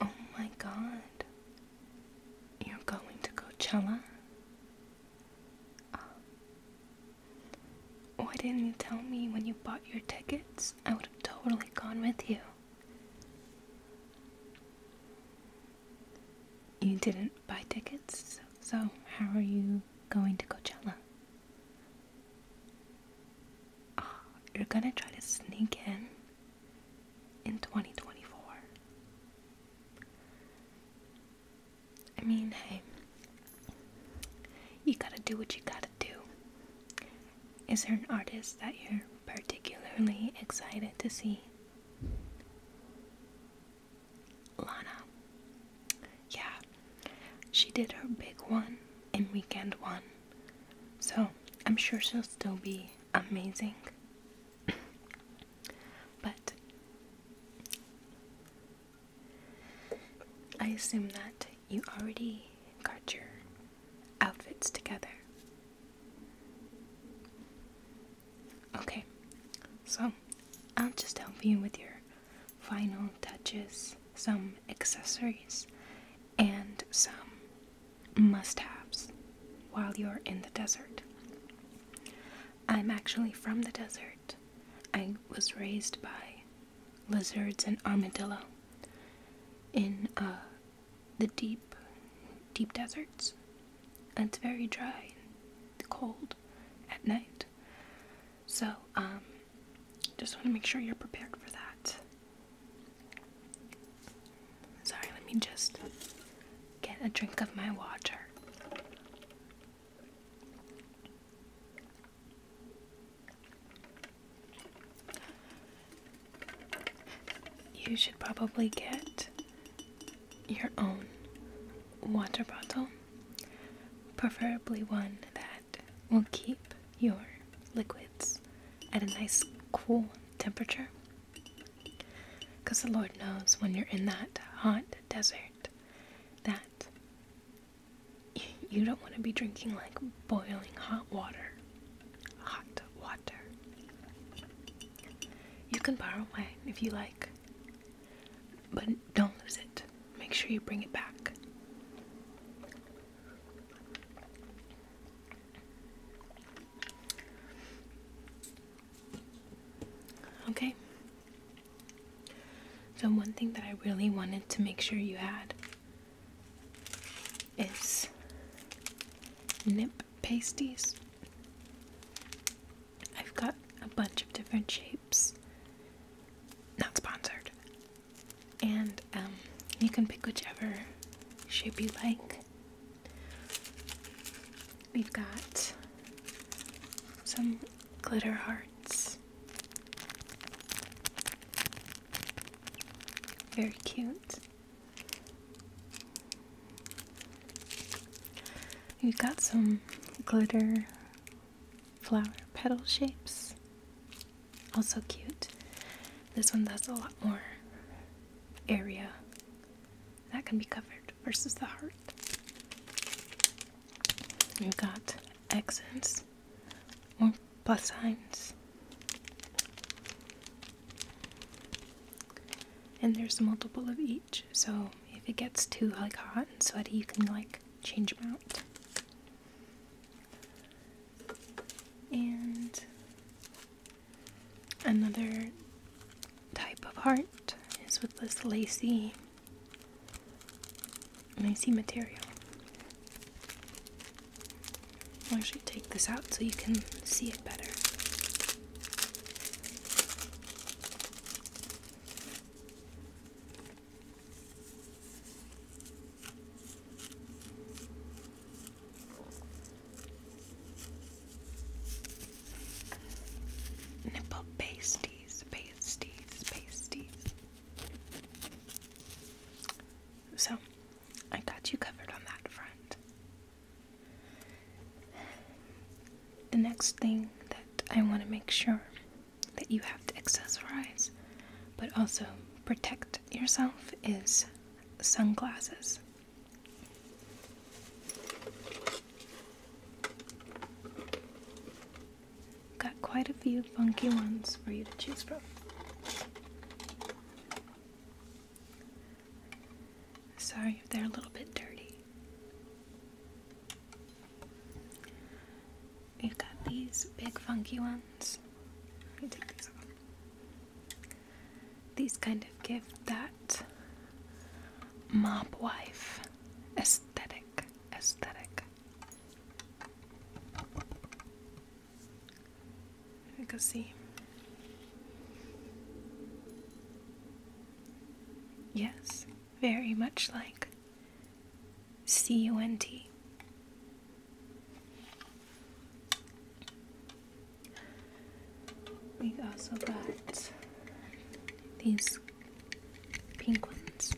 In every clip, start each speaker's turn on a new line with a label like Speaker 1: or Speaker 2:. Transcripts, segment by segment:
Speaker 1: Oh my god. You're going to Coachella? Uh, why didn't you tell me when you bought your tickets? I would have totally gone with you. You didn't buy tickets, so how are you going to Coachella? Oh, you're gonna try to sneak in? in 2024. I mean, hey, you gotta do what you gotta do. Is there an artist that you're particularly excited to see? Lana. Yeah, she did her big one in weekend one. So I'm sure she'll still be amazing. but I assume that you already got your outfits together. Okay, so I'll just help you with your final touches, some accessories, and some must haves while you're in the desert. I'm actually from the desert. I was raised by lizards and armadillo in uh, the deep, deep deserts. And it's very dry and cold at night. So, um, just want to make sure you're prepared for that. Sorry, let me just get a drink of my water. You should probably get your own water bottle, preferably one that will keep your liquids at a nice cool temperature. Because the Lord knows when you're in that hot desert that you don't want to be drinking like boiling hot water. Hot water. You can borrow wine if you like, but don't lose it. Make sure you bring it back. Okay. So, one thing that I really wanted to make sure you had is nip pasties. I've got a bunch of different shapes. Not sponsored and um, you can pick whichever shape you like. We've got some glitter hearts. Very cute. We've got some glitter flower petal shapes. Also cute. This one does a lot more area that can be covered versus the heart. We've got accents, more plus signs. And there's multiple of each, so if it gets too like hot and sweaty, you can like change them out. And another type of heart is with this lacy lacy material. I'll actually take this out so you can see it better. Nipple pasties, pasties, pasties. So, I got you covered on that front. The next thing that I want to make sure that you have to accessorize, but also protect yourself is sunglasses. Got quite a few funky ones for you to choose from. Sorry if they're a little bit dirty. We've got these big funky ones. Let me take these off. These kind of give that mob wife aesthetic. Aesthetic. You can see. Yes, very much like C U N T. We also got these pink ones.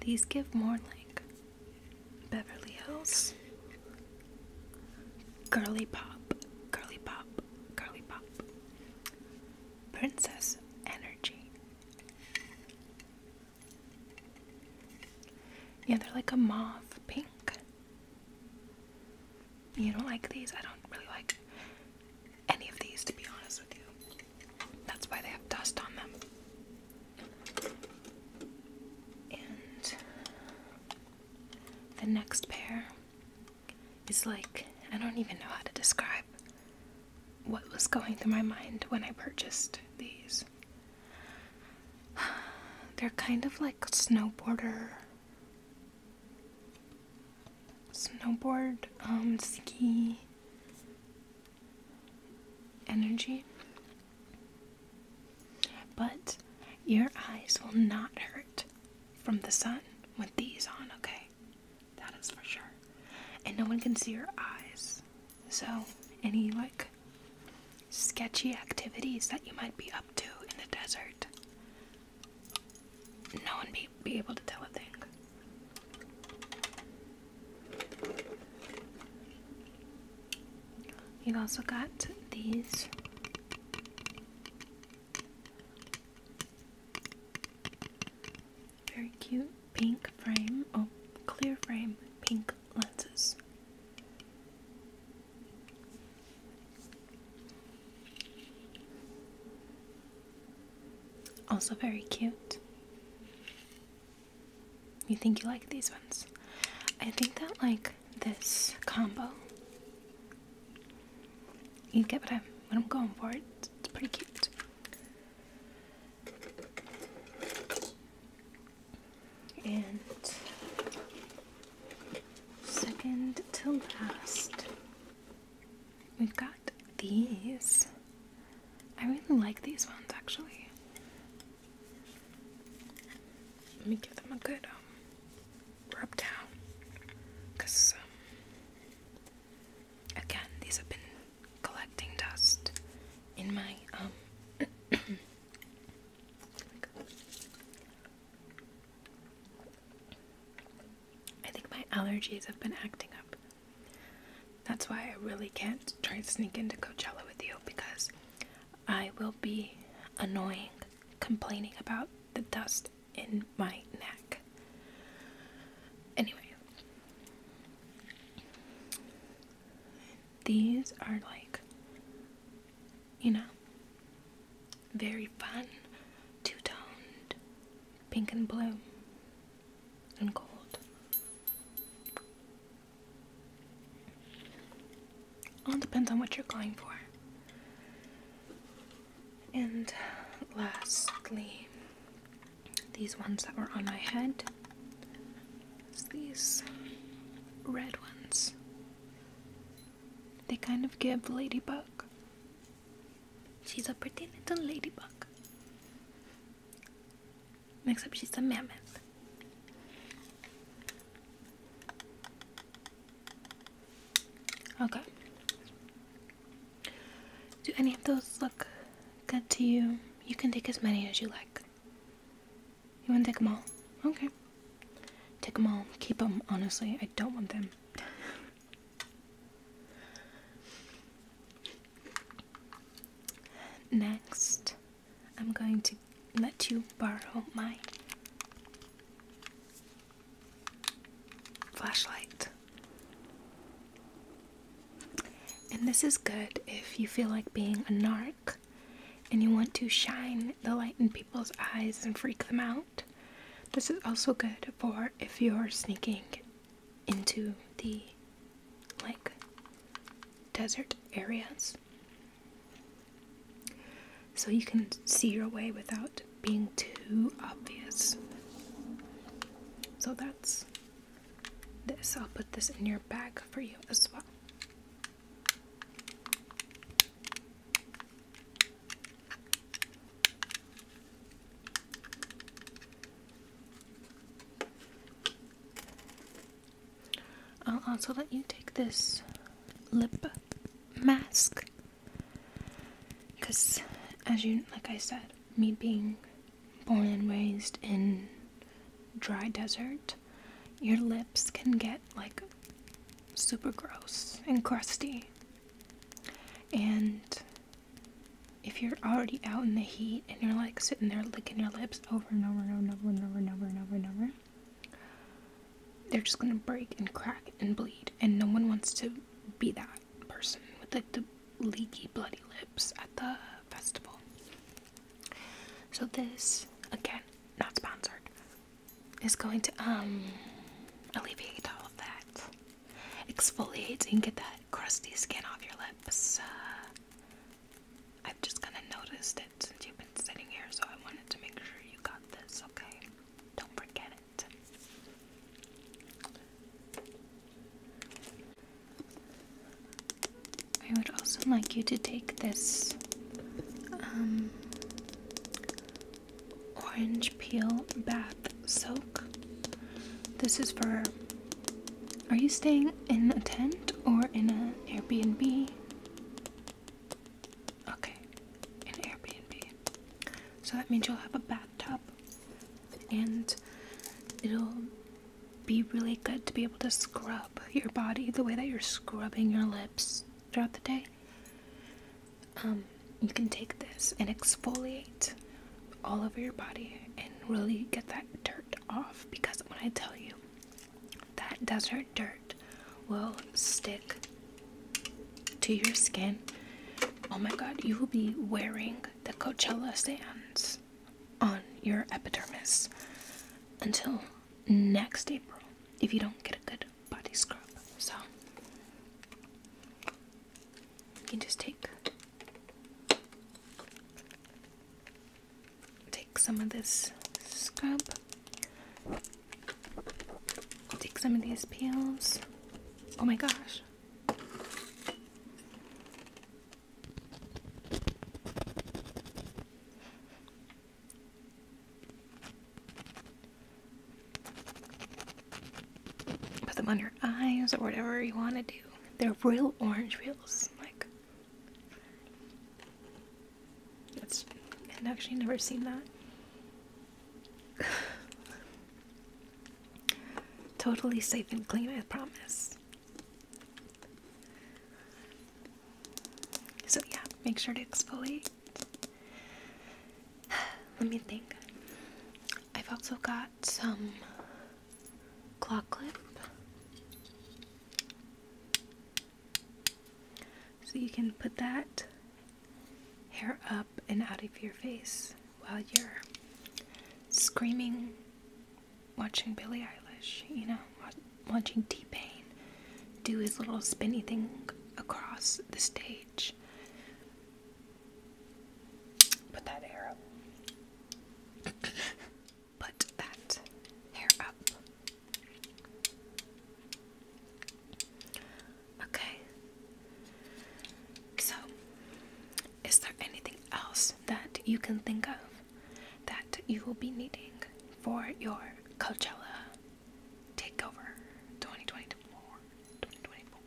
Speaker 1: These give more like Beverly Hills. Girly pop, girly pop, girly pop. Princess Energy. Yeah, they're like a mauve pink. You don't like these? I don't really like any of these, to be honest with you. That's why they have dust on them. And the next pair it's like I don't even know how to describe what was going through my mind when I purchased these. They're kind of like snowboarder snowboard um ski energy. But your eyes will not hurt from the sun with these on, okay? That is for sure. And no one can see your eyes. So, any like sketchy activities that you might be up to in the desert, no one be, be able to tell a thing. You've also got these very cute pink frame, oh, clear frame, pink lenses. Also, very cute. You think you like these ones? I think that, like, this combo you get what I'm, what I'm going for. It's, pretty cute. And second to last, we've got these. I really like these ones actually. Let me give them a good um, rub down. Because um, Again, these have been collecting dust in my um, I think my allergies have been acting up. That's why I really can't try to sneak into Coachella with you because I will be annoying complaining about the dust in my neck. Anyway, these are like, you know, very fun, two toned, pink and blue, and gold. All depends on what you're going for. And lastly, these ones that were on my head, these red ones. They kind of give Ladybug. She's a pretty little ladybug. Except she's a mammoth. Okay. Do any of those look good to you? You can take as many as you like. You want to take them all? Okay. Take them all. Keep them, honestly. I don't want them. Next, I'm going to let you borrow my flashlight. And this is good if you feel like being a narc and you want to shine the light in people's eyes and freak them out. This is also good for if you're sneaking into the like desert areas. So you can see your way without being too obvious. So that's this. I'll put this in your bag for you as well. I'll also let you take this lip mask because, as you, like I said, me being born and raised in dry desert, your lips can get like super gross and crusty. And if you're already out in the heat and you're like sitting there licking your lips over and over and over and over and over and over and over, they're just gonna break and crack and bleed, and no one wants to be that person with the leaky bloody lips at the festival. So this, again, not sponsored, is going to um alleviate all of that. Exfoliate and get that crusty skin off your lips. Uh, I've just kind of noticed it since you've been sitting here, so I wanted to make sure you got this, okay? Don't forget it. I would also like you to take this um, orange peel bath soak. This is for. Are you staying in a tent or in an Airbnb? Okay, an Airbnb so that means you'll have a bathtub and it'll be really good to be able to scrub your body the way that you're scrubbing your lips throughout the day um, you can take this and exfoliate all over your body and really get that dirt off because when I tell you that desert dirt will stick to your skin. Oh my god, you will be wearing the Coachella sands on your epidermis until next April if you don't get a good body scrub. So you can just take take some of this scrub take some of these peels. Oh my gosh. Put them on eyes or whatever you want to do. They're real orange peels. Like, that's. I've actually never seen that. totally safe and clean, I promise. So, yeah, make sure to exfoliate. Let me think. I've also got some claw clip. So you can put that hair up and out of your face while you're screaming, watching Billie Eilish, you know, watching T Pain do his little spinny thing across the stage. Put that hair up. Put that hair up. Okay? So, is there anything else that you can think of that you will be needing for your Coachella takeover 2024? 2024.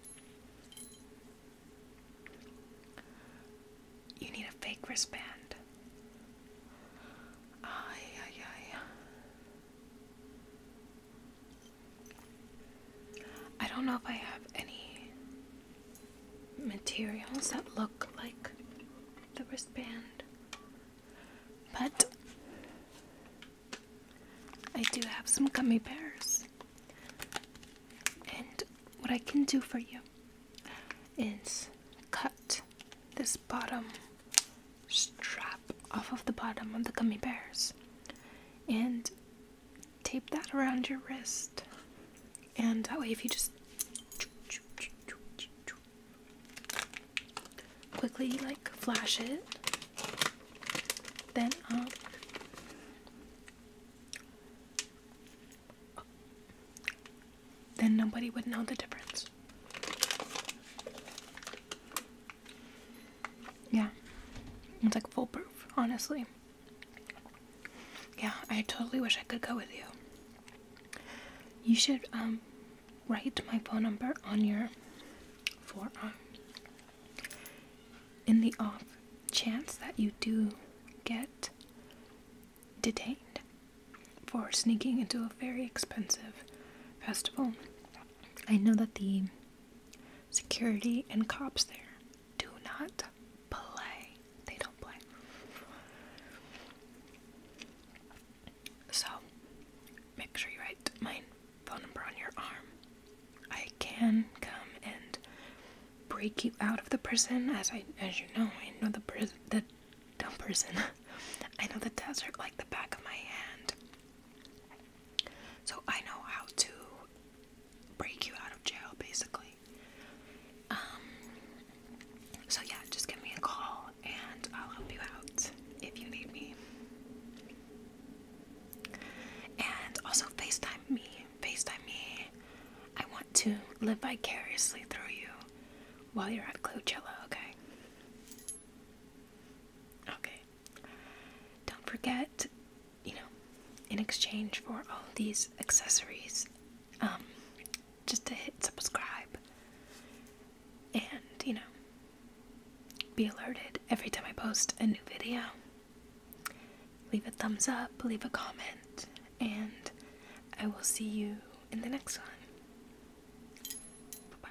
Speaker 1: You need a fake wristband. Ay, ay, ay. I don't know if I have any materials that look like the wristband, but I do have some gummy bears. And what I can do for you is cut this bottom strap off of the bottom of the gummy bears and tape that around your wrist. And that way, if you just quickly like flash it, then um, then nobody would know the difference. Yeah. It's like foolproof, honestly. Yeah, I totally wish I could go with you. You should um, write my phone number on your forearm. In the off chance that you do get detained for sneaking into a very expensive festival. I know that the Security and cops there do not play. They don't play. So, make sure you write my phone number on your arm. I can come and break you out of the prison, as I, as you know, I know the prison, the dumb prison. I know the desert like the back of my hand. So I know how to break you out of jail basically. Um, so yeah, just give me a call and I'll help you out if you need me. And also FaceTime me. FaceTime me. I want to live vicariously through you while you're at Coachella, okay? Okay, don't forget, you know, in exchange for all these accessories, um, just to hit subscribe and, you know, be alerted every time I post a new video. Leave a thumbs up, leave a comment, and I will see you in the next one. bye.